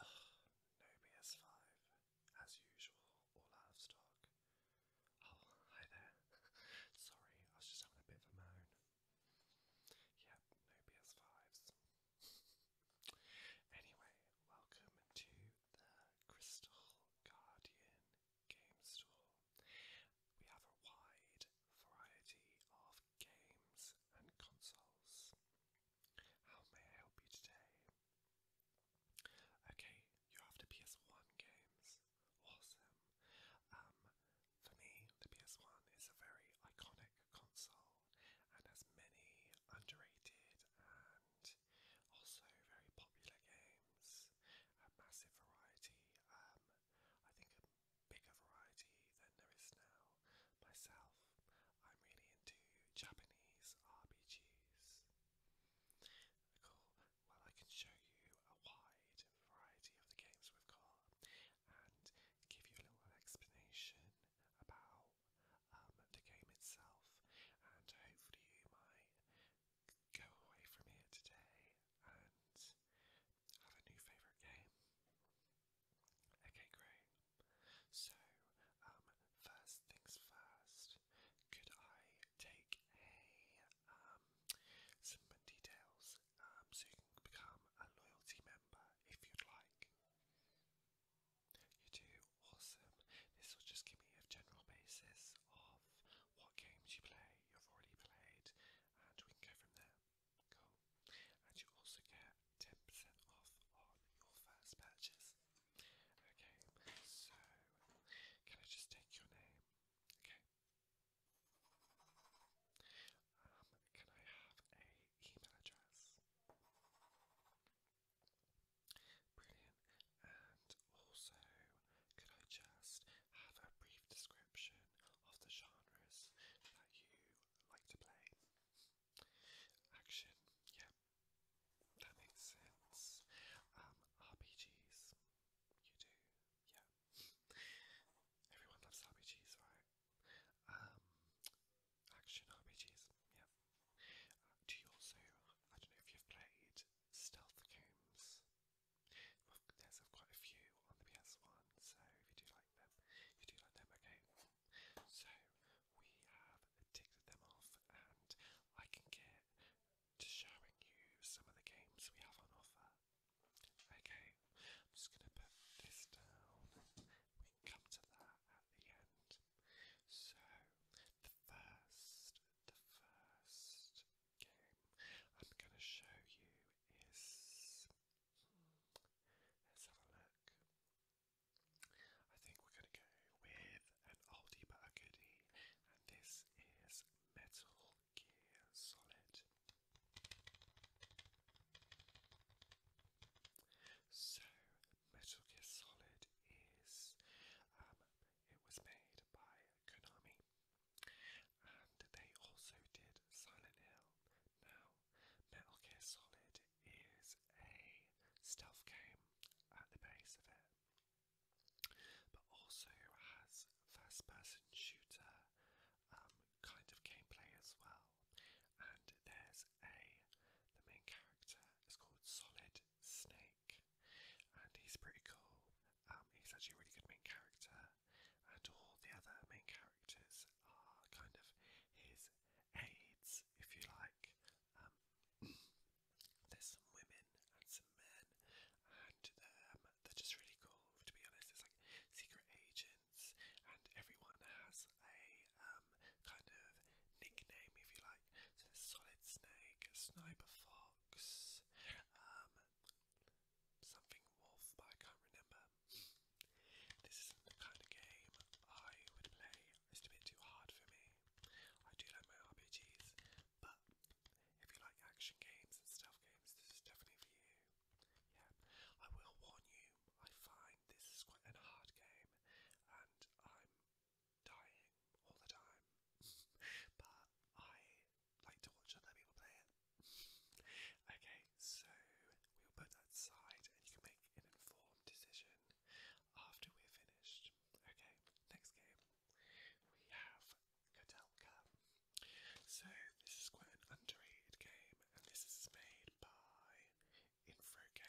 Ugh, no PS5. As usual, all out of stock. Oh, hi there. Sorry, I was just having a bit of a moan. Yep, no PS5s. anyway, welcome to the Crystal Guardian game store. We have a wide variety of of games and consoles. How may I help you today? Okay, you're after PS1 games. Awesome. Um, for me, the PS1 is a very iconic console and has many underrated and also very popular games, a massive variety. Um, I think a bigger variety than there is now. Myself, I'm really into Japanese RPGs. Cool. Well, I can show you a wide variety of the games we've got and give you a little explanation about um, the game itself, and hopefully, you might go away from here today and have a new favourite game? Okay, great. So, um, first things first, could I take a um some details um so you can become a loyalty member if you'd like? You do awesome. This will just give me a general basis of what games you play, you've already played, and we can go from there. Cool. And you also get 10% off on your first purchase. Okay, so can I just take your name? Okay. Um, can I have a email address? Brilliant. And also, could I just have a brief description of the genres that you like to play. Action, yeah, that makes sense. Um, RPGs, you do, yeah. Everyone loves RPGs, right? Um, action RPGs, yeah. Uh, do you also, I don't know if you've played stealth games? There's quite a few on the PS1, so if you do like them, you do like them, okay? So we have ticked them off, and I can get to showing you some of the games we have on offer. Okay, I'm just going to put this down. We can come to that at the end. So, the first, the first game I'm going to show you is Let's have a look. I think we're going to go with an oldie but a goodie, and this is Metal Gear Solid. So, Metal Gear Solid is, um, it was made by Konami, and they also did Silent Hill. Now, Metal Gear Solid is a stealth game at the base of it, but also has first person shooter um, kind of gameplay as well. And there's a, the main character is called Solid Snake, and he's pretty cool. Um, he's actually a really good main character and all the other main characters are kind of his aides, if you like. Um, there's some women and some men, and um, they're just really cool. To be honest, it's like secret agents, and everyone has a um, kind of nickname, if you like. So there's Solid Snake, Sniper Fox, um, Something Wolf, but I can't remember. This isn't the kind of game I would play. It's a bit too hard for me. I do like my RPGs, but if you like action games and stealth games, this is definitely for you. Yeah, I will warn you, I find this is quite a hard game, and I'm dying all the time. but I like to watch other people play it. okay, so we'll put that aside and you can make an informed decision after we're finished. Okay, next game we have Kotelka. So this is quite an underrated game and this is made by Infogames, Infogames SNK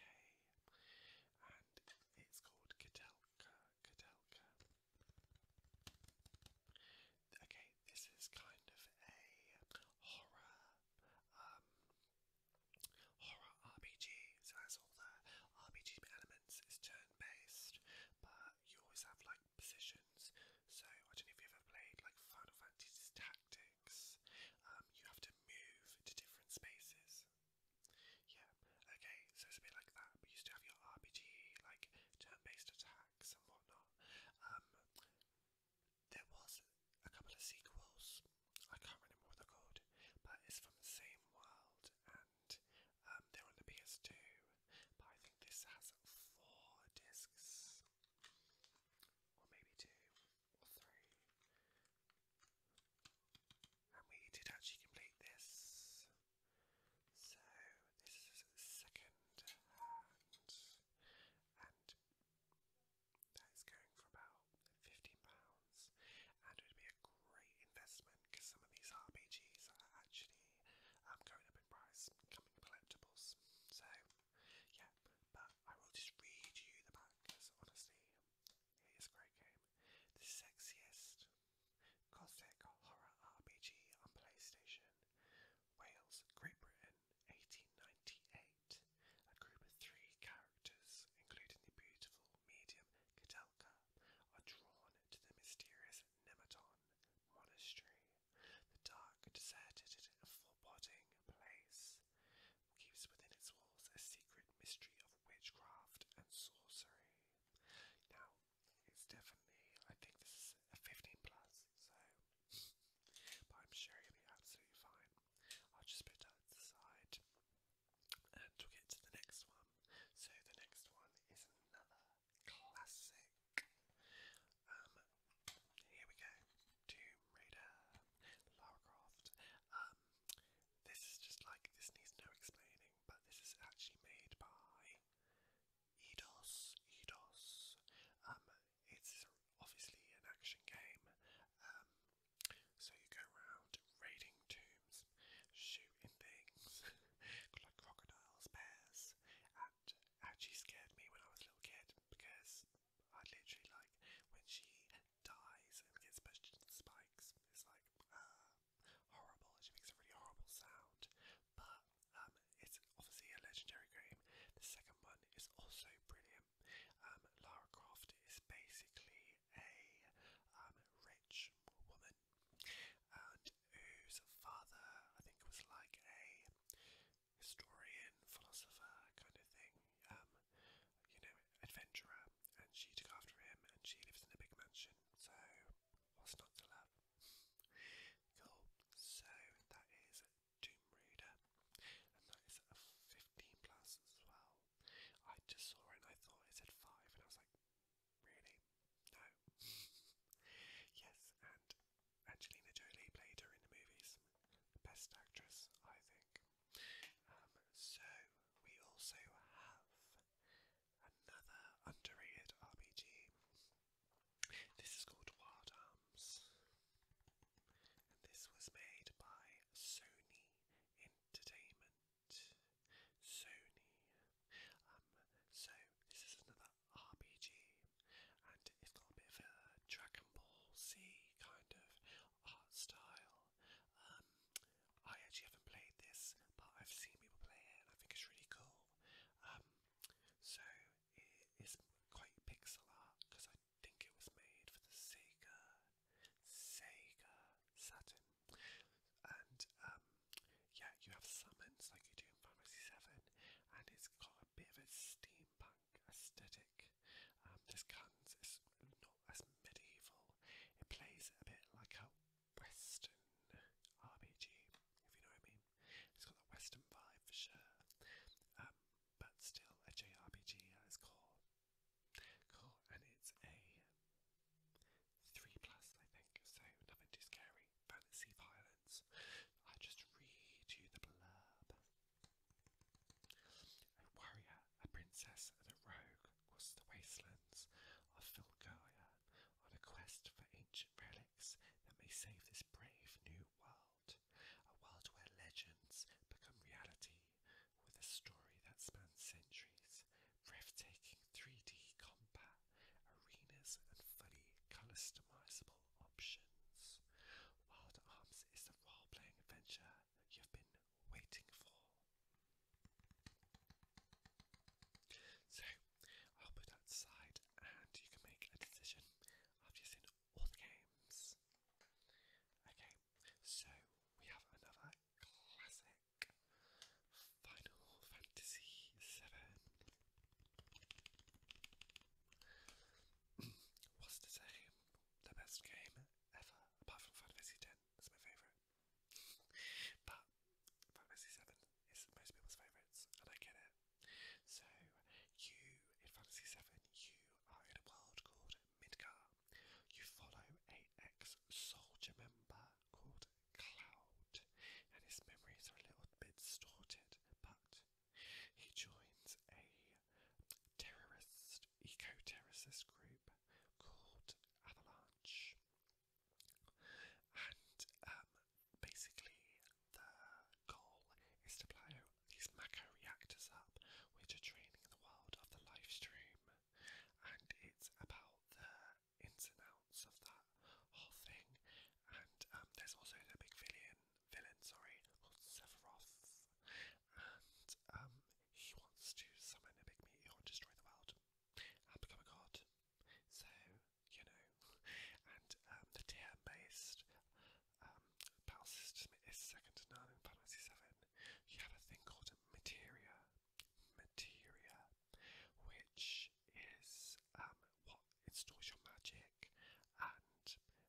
and it's called Kotelka, Kotelka. Okay, this is kind of a horror, um, horror RPG. So that's all the RPG elements. It's turn-based, but you always have like positions. So I don't know if you ever played like Final Fantasy's Tactics. Um, you have to move to different spaces. Yeah, okay, so it's a bit like that, but you still have your RPG, like turn-based attacks and whatnot. Um, there was a couple of sequels. I can't remember what they but it's from the same world, and um, they're on the PS2. But I think this has four discs, or maybe two or three. And we did actually complete this. So this is second hand, and that is going for about fifteen pounds, and would be a great investment because some of these RPGs are actually um, going up in price, becoming collectibles. So yeah, but I will just read you the back because honestly, it is a great game. The sexiest Gothic Horror RPG on PlayStation. Wales, Great Britain, 1898. A group of three characters, including the beautiful medium Kadelka, are drawn to the mysterious Nematon Monastery, the dark, deserted, and foreboding place. Keeps within its walls a secret mystery of witchcraft and sorcery. Now, it's definitely, I think this is a 15 plus, so, but I'm sure you'll be absolutely fine. I'll just put that to and we'll to the next one. So, the next one is another classic. Um, here we go. Tomb Raider, Lara Um, this is just like this needs no explaining, but this is actually made by Eidos. Eidos. Um, it's obviously an action game. Um, so you go around raiding tombs, shooting things like crocodiles, bears, and actually scared me when I was a little kid because I would literally like when she dies and gets pushed into the spikes. It's like uh, horrible. She makes a really horrible sound. But um, it's obviously a legendary game. The second one is also brilliant. Um, Lara Croft is basically a um, rich woman, and whose father I think was like a historian, philosopher kind of thing, um, you know, adventurer, and she took after him, and she lives in a big mansion. So, what's not to love? Cool. So that is Doom Raider, and that is a 15 plus as well. I just saw it and I thought it said five, and I was like, really? No. yes, and Angelina Jolie played her in the movies. Best actress, I think. Um, so, we also have another underrated RPG. This is called Wild Arms, and this was made by Sony Entertainment. Sony. Um, so, this is another RPG, and it's got a bit of a Dragon Ball Z kind of art style. Um, I actually haven't played this, but I've seen people play it and I think it's really cool. Um, so it is quite pixel art because I think it was made for the Sega, Sega Saturn. And um, yeah, you have summons like you do in Fantasy 7, and it's got a bit of a steampunk aesthetic. Um, there's guns, it's not as medieval. It plays a bit like a Western RPG, if you know what I mean. It's got that Western vibe for sure, um, but still a JRPG at its core. Cool, and it's a three plus, I think. So nothing too scary. Fantasy violence. I just read you the blurb. A warrior, a princess, and a rogue cross the wastelands of Filgaria on a quest for ancient relics that may save this brave new world. A world where legends become reality with a story that spans centuries, breathtaking 3D combat, arenas, and fully customizable options. Wild Arms is the role-playing adventure you've been waiting for. So, I'll put that aside and you can make a decision after you've seen all the games. Okay, so we have another classic Final Fantasy VII. Was the same the best game ever, apart from Final Fantasy X. It's my favourite. but Final Fantasy VII is most people's favourites, and I get it. So, you, in Fantasy seven, you are in a world called Midgar. You follow a ex-soldier member called Cloud, and his memories are a little bit distorted, but he joins a terrorist eco terrorist group called Avalanche, and um, basically the goal is to blow these macro reactors up, which are draining the world of the live stream, and it's about the ins and outs of that whole thing. And um, there's also the big villain, villain, sorry, called and um, he wants to summon a big meteor and destroy the world and become a god. So, you know, and um, the TM based um, battle system is second to none in Final 7. You have a thing called Materia. Materia, which is um, what installs your magic and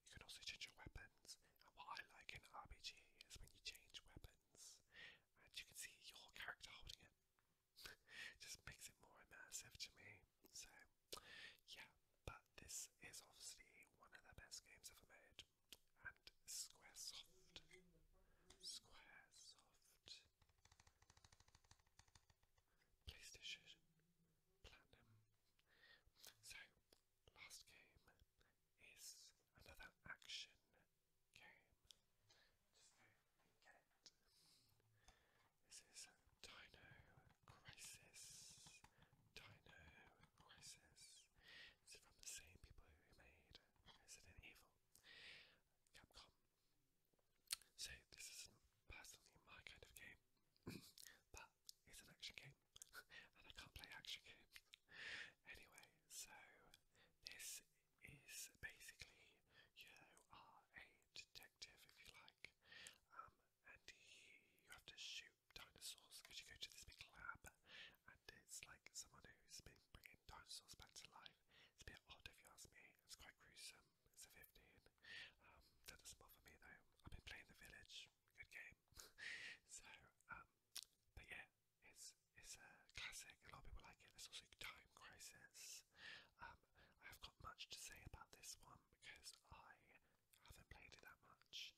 you can also change your weapons. And what I like in RPG is when you change weapons and you can see your character holding it. Just makes it more immersive to me. So, yeah, but this is obviously one of the best games ever made. And Squaresoft. Squaresoft. PlayStation Platinum. So, Last game is another action game. Just get it. This is Dino Crisis. Dino Crisis. It's from the same people who made Resident Evil. Capcom. So this is personally my kind of game, It's an action game, and I can't play action games. anyway, so this is basically you are a detective, if you like, um, and he, you have to shoot dinosaurs because you go to this big lab, and it's like someone who's been bringing dinosaurs back to life. It's a bit odd, if you ask me. It's quite gruesome. It's a 15. Um, that doesn't bother me though. I've been playing The Village, good game. so, um, but yeah, it's it's a classic. A lot of people like it. There's also Time Crisis. Um, I have got much to say about this one because I haven't played it that much,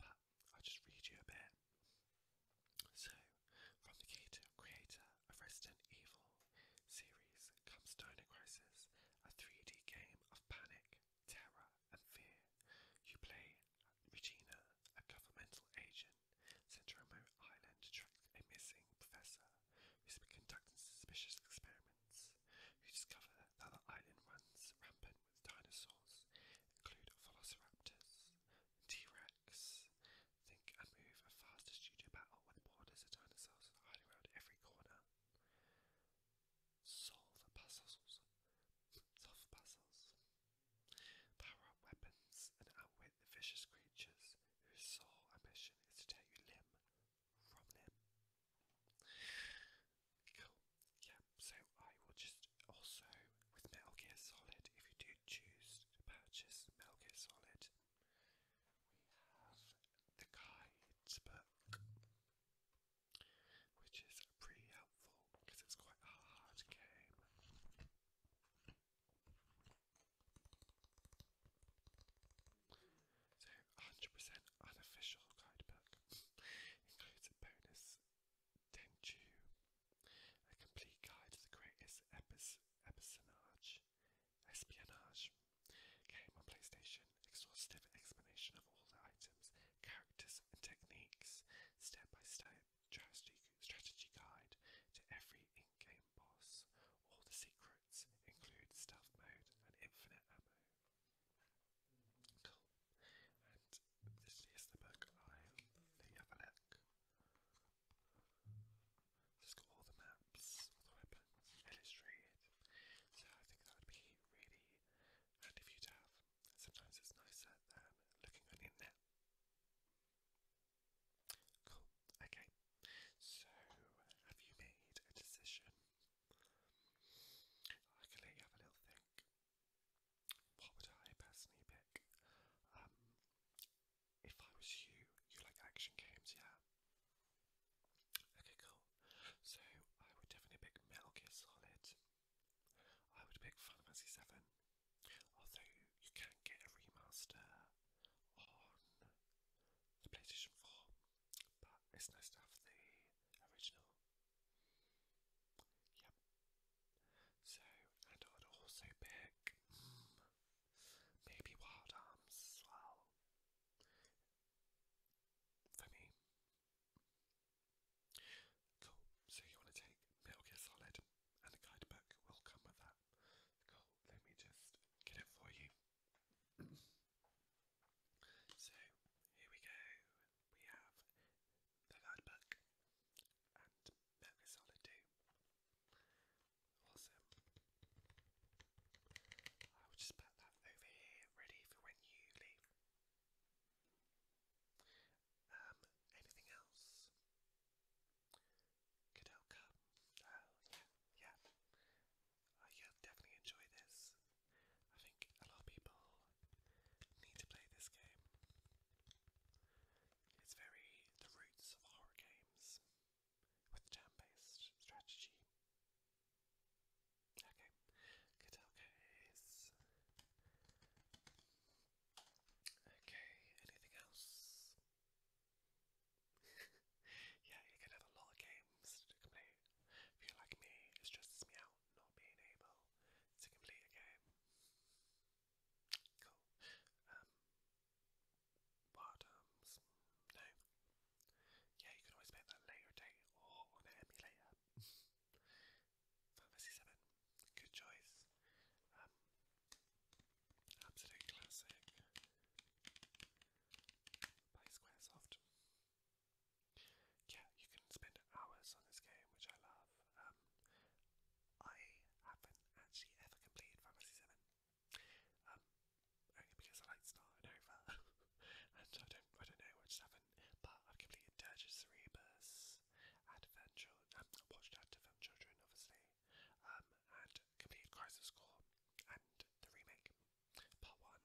but I'll just read you a bit. So, from the creator of Resident Evil series comes Dino Crisis, a 3D game of panic, terror, and fear. You play Regina, a governmental agent sent to remote island to track a missing professor who's been conducting suspicious experiments. You discover that the island runs rampant with dinosaurs, include velociraptors, T-Rex. Think and move a faster studio battle with borders of dinosaurs hiding around every corner. Solve puzzles. Solve puzzles. Power up weapons and outwit the vicious creatures whose sole ambition is to take you limb from limb. Cool. Yeah, so I will just also, with Metal Gear Solid, if you do choose to purchase Metal Gear Solid, we have the guide book which is pretty helpful because it's quite a hard game. So, 100% unofficial guidebook includes a bonus Tenchu, a complete guide to the greatest episonage, espionage, Came on PlayStation, exhaustive explanation of all the items, characters, and techniques, step by step strategy guide to every in game boss. All the secrets include stealth mode and infinite ammo. And this is the book. I'll have a look. it got all the maps, all the weapons illustrated. So I think that would be really and if you'd have, sometimes it's nicer than looking on the internet. Cool. Okay. So, have you made a decision? I can let you have a little think. What would I personally pick? Um, if I was you, you like action games, yeah? Okay, cool. So I would definitely pick Metal Gear Solid. I would pick Final Fantasy VII. Although you can get a remaster on the PlayStation 4, but it's nice to have the original. Yep. So, and I'd also pick hmm, maybe Wild Arms as well for me. Cool. So you want to take Metal and the guidebook will come with that. Cool. Let me just get it for you. so here we go. We have the guidebook and Metal Gear Awesome. I will just put that over here, ready for when you leave. Um, anything else? Good outcome. Oh, yeah, yeah. Uh, definitely enjoy this. I think a lot of people need to play this game. It's very the roots of horror games with turn-based strategy. Okay, Kadelka is... Okay, anything else? yeah, you could have a lot of games to complete. If you're like me, it stresses me out not being able to complete a game. Cool. Um, No. Yeah, you can always make that later date or on an emulator. Fantasy Seven, good choice. Um, absolute classic by Squaresoft. Yeah, you can spend hours on this game, which I love. Um, I haven't actually ever completed Fantasy Seven. Um, only because I like started over, and I don't, I don't know, I just But I've completed Dirge's Cerebus, Advent Children, um, watched Advent Children, obviously, um, and completed Crisis Core and the remake, part one.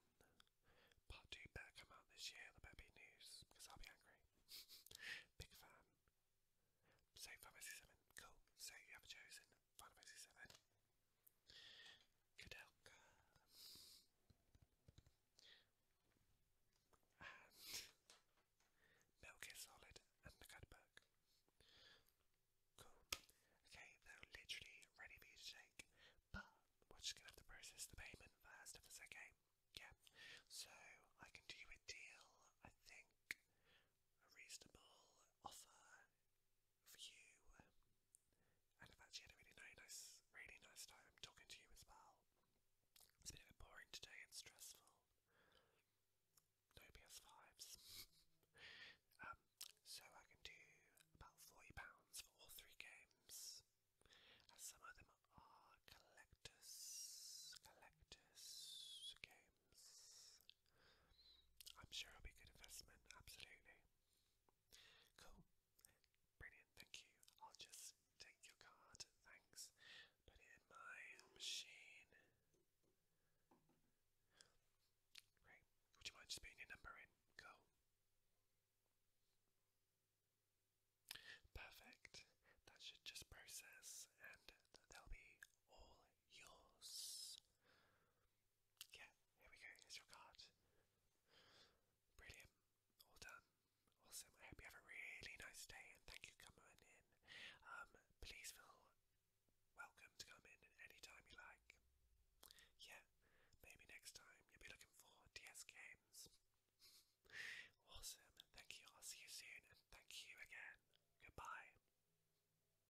Part two better come out this year. There better be news, because I'll be angry. Big fan. So five, six, seven. Cool. So you have chosen Final Fantasy Seven. Good help. Solid and the Cudberg. Cool. Okay, they're literally ready for you to take, but we're just gonna have to process the payment first if it's okay. Yeah. So I can do you a deal, I think. A reasonable offer view. And I've actually had a really nice, really nice time talking to you as well. It's been a bit boring today and stressful. No PS5s. Um, so I can do about £40 for three games. As some of them are collectors, collectors games. I'm sure it'll be good investment, absolutely. Cool. Brilliant, thank you. I'll just take your card, thanks. Put it in my machine. Great. Would you mind just putting your number in? Go. Perfect. That should just process and they'll be all yours. Yeah, here we go, here's your card. Brilliant. All done. Awesome. I hope you have a really nice day and thank you for coming in. Um, please feel welcome to come in at any time you like. Yeah, maybe next time you'll be looking for DS games. awesome. Thank you. see you soon and thank you again. Goodbye.